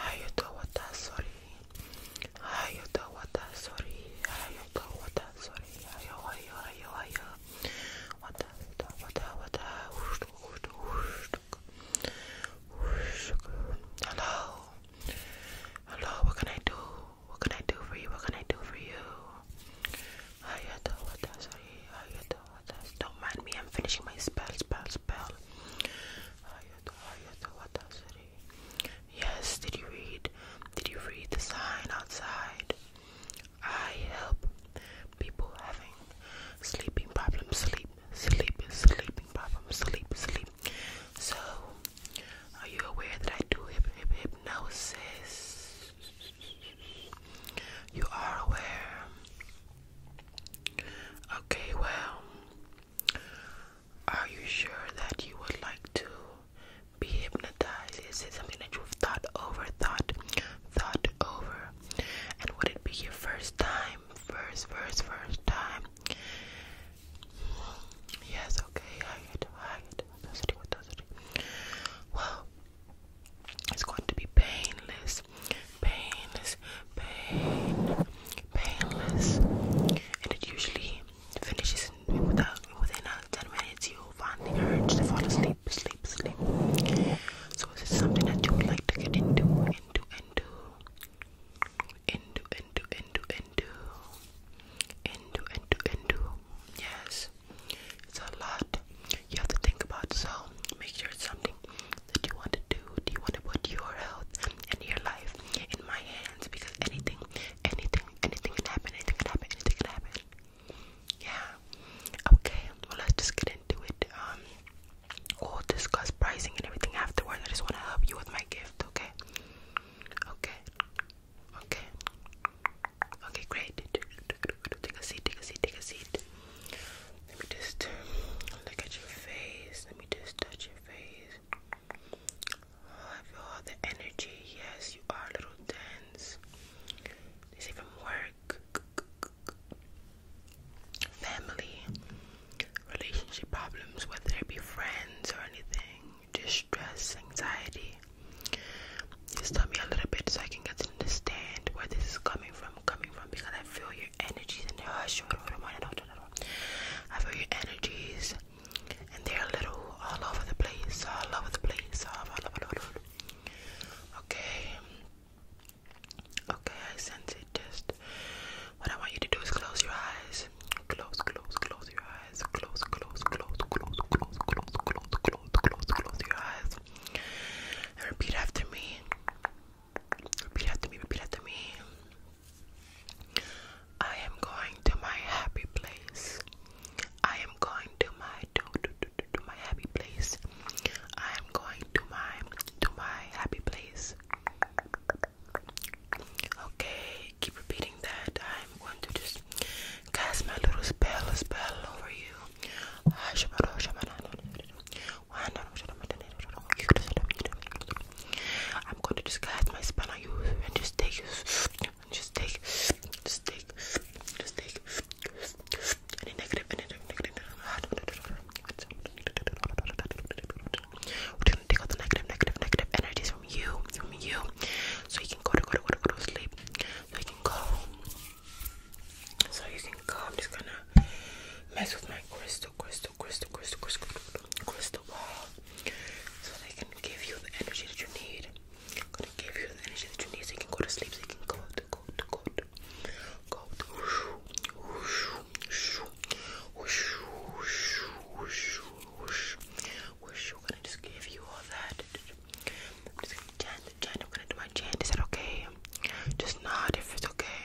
Hayata wata sorry. Hayata wata sorry. Hayata wata sorry. Hayo hayo hayo hayo. Wata wata wata wata. Hello. Hello. What can I do? What can I do for you? What can I do for you? Hayata wata sorry. Hayata wata. Don't mind me. I'm finishing my spell. Spell. Spell. Hayata Yes, did you read? Did you read the sign outside? I help people having sleeping problems, sleep, sleep, sleeping problems, sleep, sleep. So, are you aware that I do hypnosis? You are aware. Okay, well, are you sure that you would like to be hypnotized? Is it something that you've thought over, thought, thought over? And would it be your first time? First, first, first time? Yes, okay, I get it, I get it. Well, it's going to be painless, painless, painless, pain, painless, and it usually finishes in, without within uh, ten minutes. You'll find the urge to fall asleep, sleep, sleep. So is it something that you would like to get into, into, into, into, into, into, into, into, into, into? Yes, it's a lot you have to think about. So make sure it's something do you want to do? Do you want to put your health and your life in my hands? Because anything, anything, anything can happen, anything can happen, anything can happen. Yeah. Okay, well let's just get into it. Um we'll discuss pricing and everything afterwards. I just wanna help you with my gift, okay? Okay. Okay. Okay, great. Take a seat, take a seat, take a seat. Let me just look at your face. Let me just touch your face. Oh, I feel all the energy. Yes, you are little dense. This even work, family, relationship problems, whether it be friends or anything, distress, anxiety. Just tell me a little bit so I can get to understand where this is coming from, coming from, because I feel your energies and your hush. I feel your energies, and they're a little all over the place, all over the place, all over, all over, all over. Okay, okay, I sense it. Just what I want you to do is close your eyes, close, close, close your eyes, close, close, close, close, close, close, close, close, close, close your eyes, and repeat after me. Repeat after me, repeat after me. I am going to my happy place. I am going to my to, to, to, to my happy place. I am going to my to my happy place. Okay, keep repeating that. I'm going to just cast my little spell, spell over you. I'm going to disguise my spanner you and just take, just take, just take, just take any negative, any negative. We're gonna take all the negative, negative, negative energies from you, from you, so you can go to go to go to go to sleep. So you can go. So you can go. I'm just gonna mess with my crystal, crystal, crystal, crystal, crystal, crystal ball so they can give you the energy that you need. I'm gonna give you the energy that you need so you can go to sleep, so you can go to go to go to go to whoosh, whoosh, whoosh, whoosh, whoosh, whoosh, whoosh. I'm gonna just give you all that. I'm just gonna chant, chant. I'm gonna do my chant. Is that okay? Just nod if it's okay.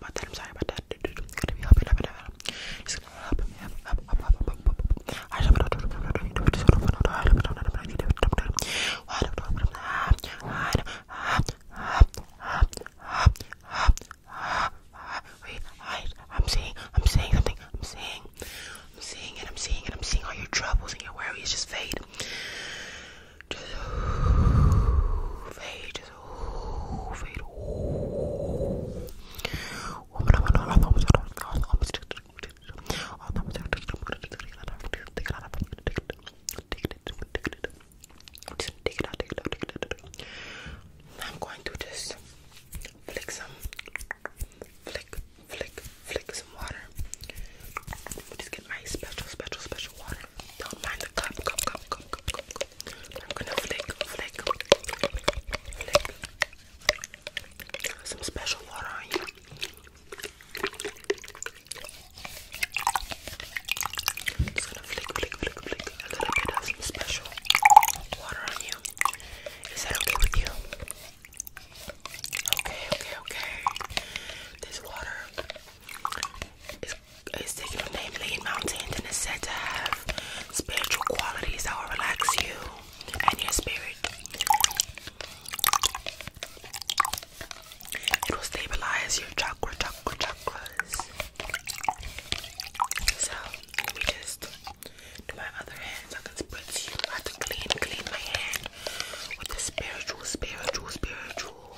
sorry about that. I'm sorry about that. It's gonna be happy. It's gonna happen. Wait, I, I'm seeing, I'm seeing something. I'm seeing, I'm seeing it. I'm seeing it. I'm seeing all your troubles and your worries just fade just fade, just fade. I'm going to just flick some, flick, flick, flick some water. Just get my special, special, special water. Don't mind the cup, cup, cup, cup, cup, cup. I'm gonna flick, flick, flick. Some special water on you. Just gonna flick, flick, flick, flick. A little bit of some special water on you. Is that okay with you? Okay, okay, okay. This water is it's taken from name Lean Mountains and is said to have spiritual qualities that will relax you and your spirit. It will stabilize your chakra, chakra, chakras. So let just do my other hand I can spritz you. I have to clean, clean my hand with the spiritual, spiritual, spiritual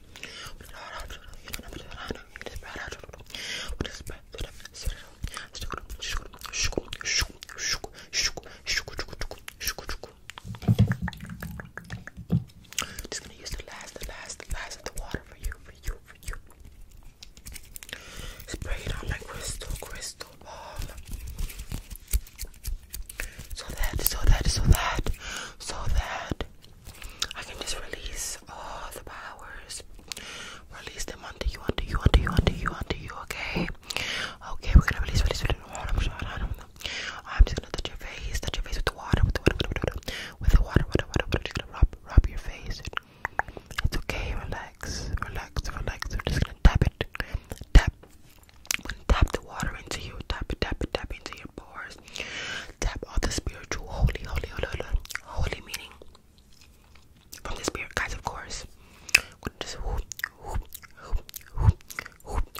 Just gonna use the last, the last, the last of the water for you, for you, for you. Spray it on my crystal, crystal ball so that, so that, so that, so that I can just release all the powers. Release them onto you, onto you, onto you, onto you, onto you, okay? Okay, we're gonna release, release, release. I'm just gonna touch your face, touch your face with the water, with the water, with the water, with the water, with the water, with the water. Just gonna rub, rub your face. It's okay, relax, relax, relax. We're just gonna tap it, tap, Tap the water into you. Tap, tap, tap into your pores. Tap all the spiritual, holy, holy, holy, holy, holy meaning from the spirit guys. Of course, just whoop, whoop, whoop, whoop,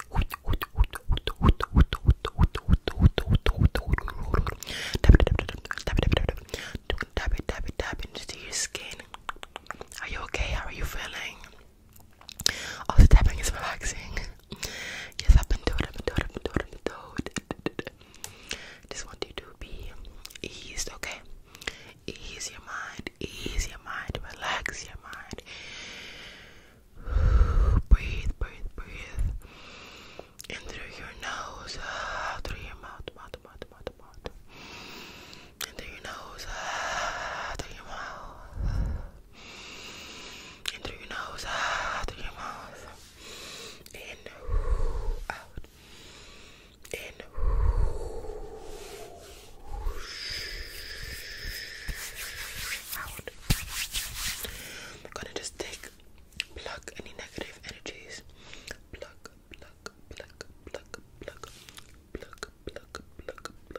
whoop, whoop, whoop, whoop, Tap it, tap it, tap into your skin. Are you okay? How are you feeling? Oh, the tapping is relaxing. Yes, I've been doing it, I've been doing it, I've been doing it, I've been doing it. Just want you to be eased, okay? Ease your mind, ease your mind, relax your mind. breathe, breathe, breathe. In through your nose, out ah, through your mouth, mouth, mouth, mouth, mouth. In through your nose, out ah, through your mouth in through your nose, out through your mouth, in, out, in. Out. I'm gonna just take, pluck any negative energies. Pluck, pluck, pluck, pluck, pluck, pluck, pluck, pluck, pluck,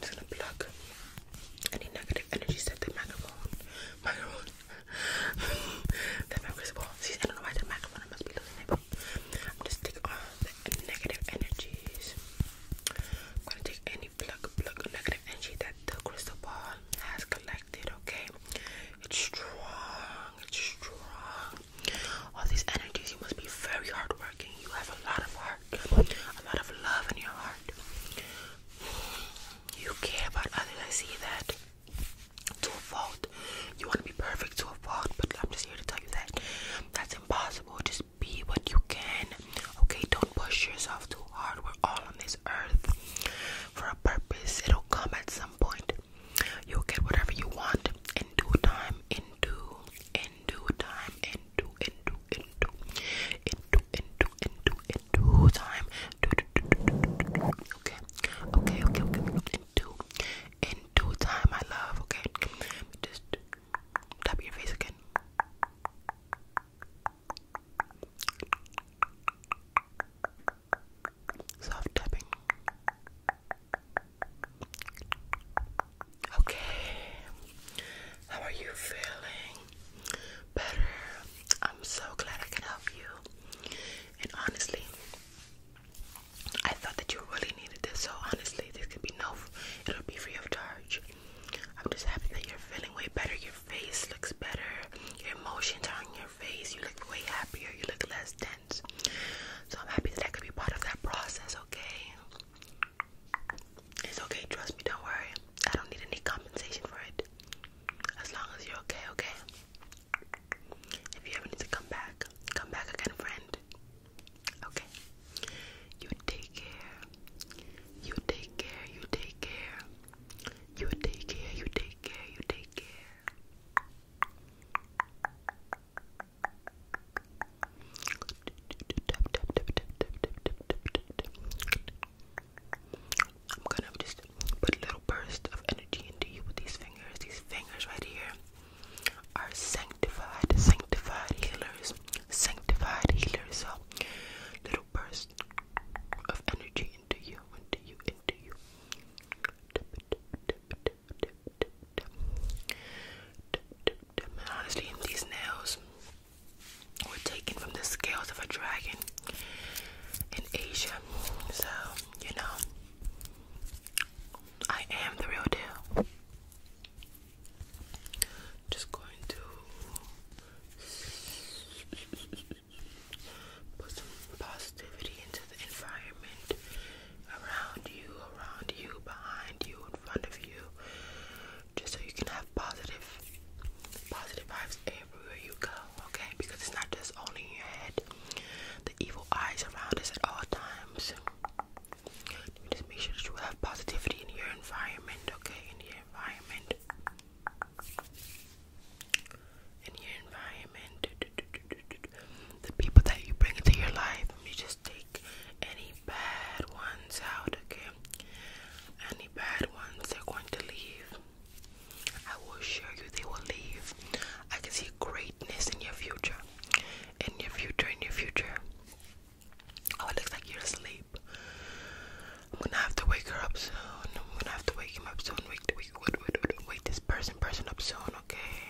just gonna plug any negative energies that the microphone, microphone, the microphone. See, I don't know why the microphone must be losing it. I'm just taking all the negative energies. I'm gonna take any plug, plug negative energy that the crystal ball has collected. Okay, it's strong. It's strong. All these energies. You must be very hardworking. You have a lot of hard a lot of love in your heart. You care about others. I see that to fault. You want to be perfect to fault, but I'm just here to tell you that that's impossible. Just be what you can. Okay, don't push yourself too hard. We're all on this earth for a purpose. It'll come at some point. You'll get whatever you want in due time, in due, in due time, in due, in due, in due, in due, in due, time. Okay, okay, okay, okay. In due, time, my love. Okay, just tap your face again. Soft tapping. Okay. How are you feeling? Better. I'm so glad I can help you. And honestly, I thought that you really needed this. So honestly, this could be no, it'll be free of charge. I'm just happy that you're feeling way better. Your face looks better. Your emotions are on your face. You look way happier. You look less tense. So I'm happy that I could be part of that process, okay? It's okay, trust me, don't worry. I don't need any compensation for it. As long as you're okay, okay? If you ever need to come back, come back again, friend. Okay? You take care. You take care, you take care. You take care, you take care, you take care. I'm gonna just put little burst of energy into you with these fingers. These fingers right here are sanctified, sanctified healers, sanctified healers. So, little burst of energy into you, into you, into you. Honestly, these nails were taken from the scales of a dragon in Asia. So, you know, I am the real deal. Just going to put some positivity into the environment around you, around you, behind you, in front of you, just so you can have positive positive vibes everywhere you go, okay? Because it's not just only in your head. The evil eyes around us at all times. Just make sure that you have positivity in your environment, okay? In your environment. In your environment. The people that you bring into your life. I mean, just take any bad ones out, okay? Any bad ones, they're going to leave. I will assure you they will leave. I can see greatness in your future. In your future, in your future. Oh, it looks like you're asleep. I'm gonna have to wake her up soon. I'm gonna have to wake him up soon. Wake, wake, wait, wait, wait, wait this person, person up soon, okay?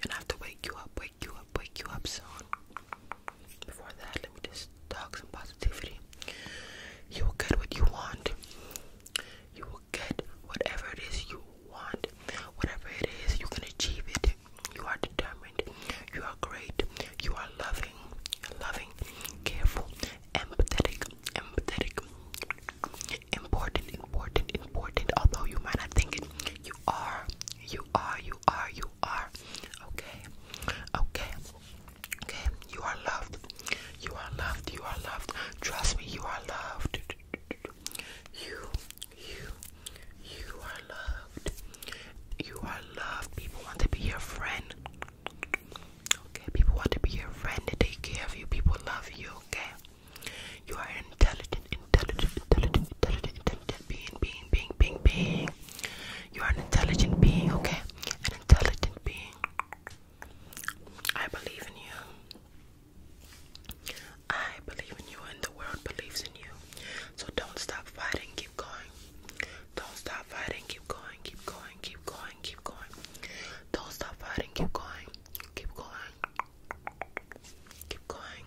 Gonna have to wake you up, wake you up, wake you up soon. Before that, let me just talk some positivity. You will get what you want. You will get whatever it is you want. Whatever it is, you can achieve it. You are determined. You are great. You are loving, loving, careful, empathetic, empathetic, important, important, important. Although you might not think it, you are, you are, you you are, you are. Okay, okay, okay. You are loved. You are loved. You are loved. Trust me, you are loved. You, you, you are loved. You are loved. People want to be your friend. Okay, people want to be your friend. They take care of you. People love you. Okay, you are intelligent, intelligent, intelligent, intelligent, intelligent, being, being, being, being, being. You are an intelligent being, okay? An intelligent being. I believe in you. I believe in you, and the world believes in you. So don't stop fighting, keep going. Don't stop fighting, keep going, keep going, keep going, keep going. Don't stop fighting, keep going, keep going. Keep going.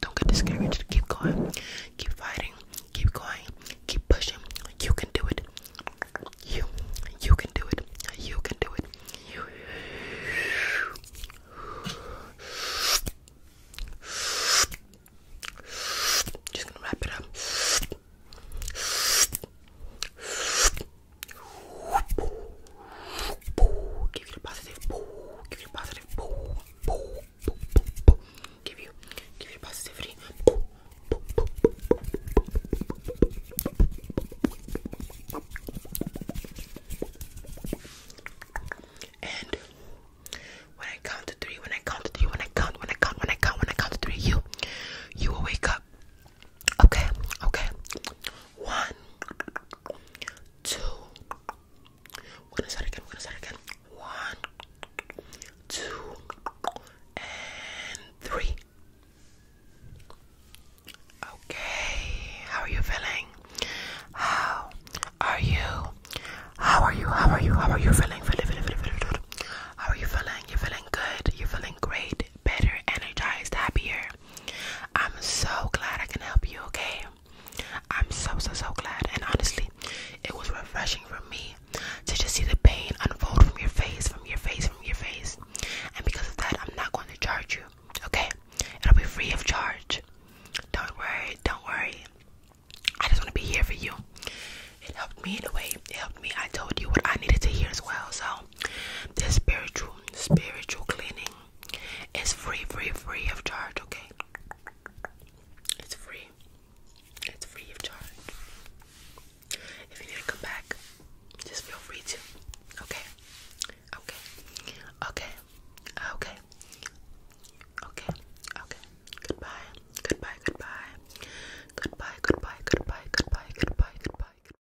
Don't get this, discouraged. Keep going, keep fighting, keep going, keep pushing. You can do it. You, you can do it. You can do it. Just gonna wrap it up. Give you positive. Give you positive. Give you, give you positivity. And when I count to three, when I count to three, when I count, when I count, when I count, when I count to three, you, you will wake up. Okay, okay, one, two. We're gonna start again. We're gonna start again. One, two, and three. Okay, how are you feeling? How are you? How are you? How are you? How are you feeling? Feeling, feeling, feeling, feeling, feeling. How are you feeling? You're feeling good. You're feeling great better, energized, happier. I'm so glad I can help you, okay? I'm so, so, so glad. And honestly, it was refreshing for me to just see the pain unfold from your face, from your face, from your face. And because of that, I'm not going to charge you, okay? It'll be free of charge. Don't worry, don't worry. I just want to be here for you. It helped me in a way. It helped me. I told you what I needed to hear as well. So this spiritual spiritual cleaning is free, free, free of charge. Okay, it's free. It's free of charge. If you need to come back, just feel free to. Okay, okay, okay, okay, okay, okay. Goodbye, goodbye, goodbye, goodbye, goodbye, goodbye, goodbye, goodbye, goodbye. goodbye.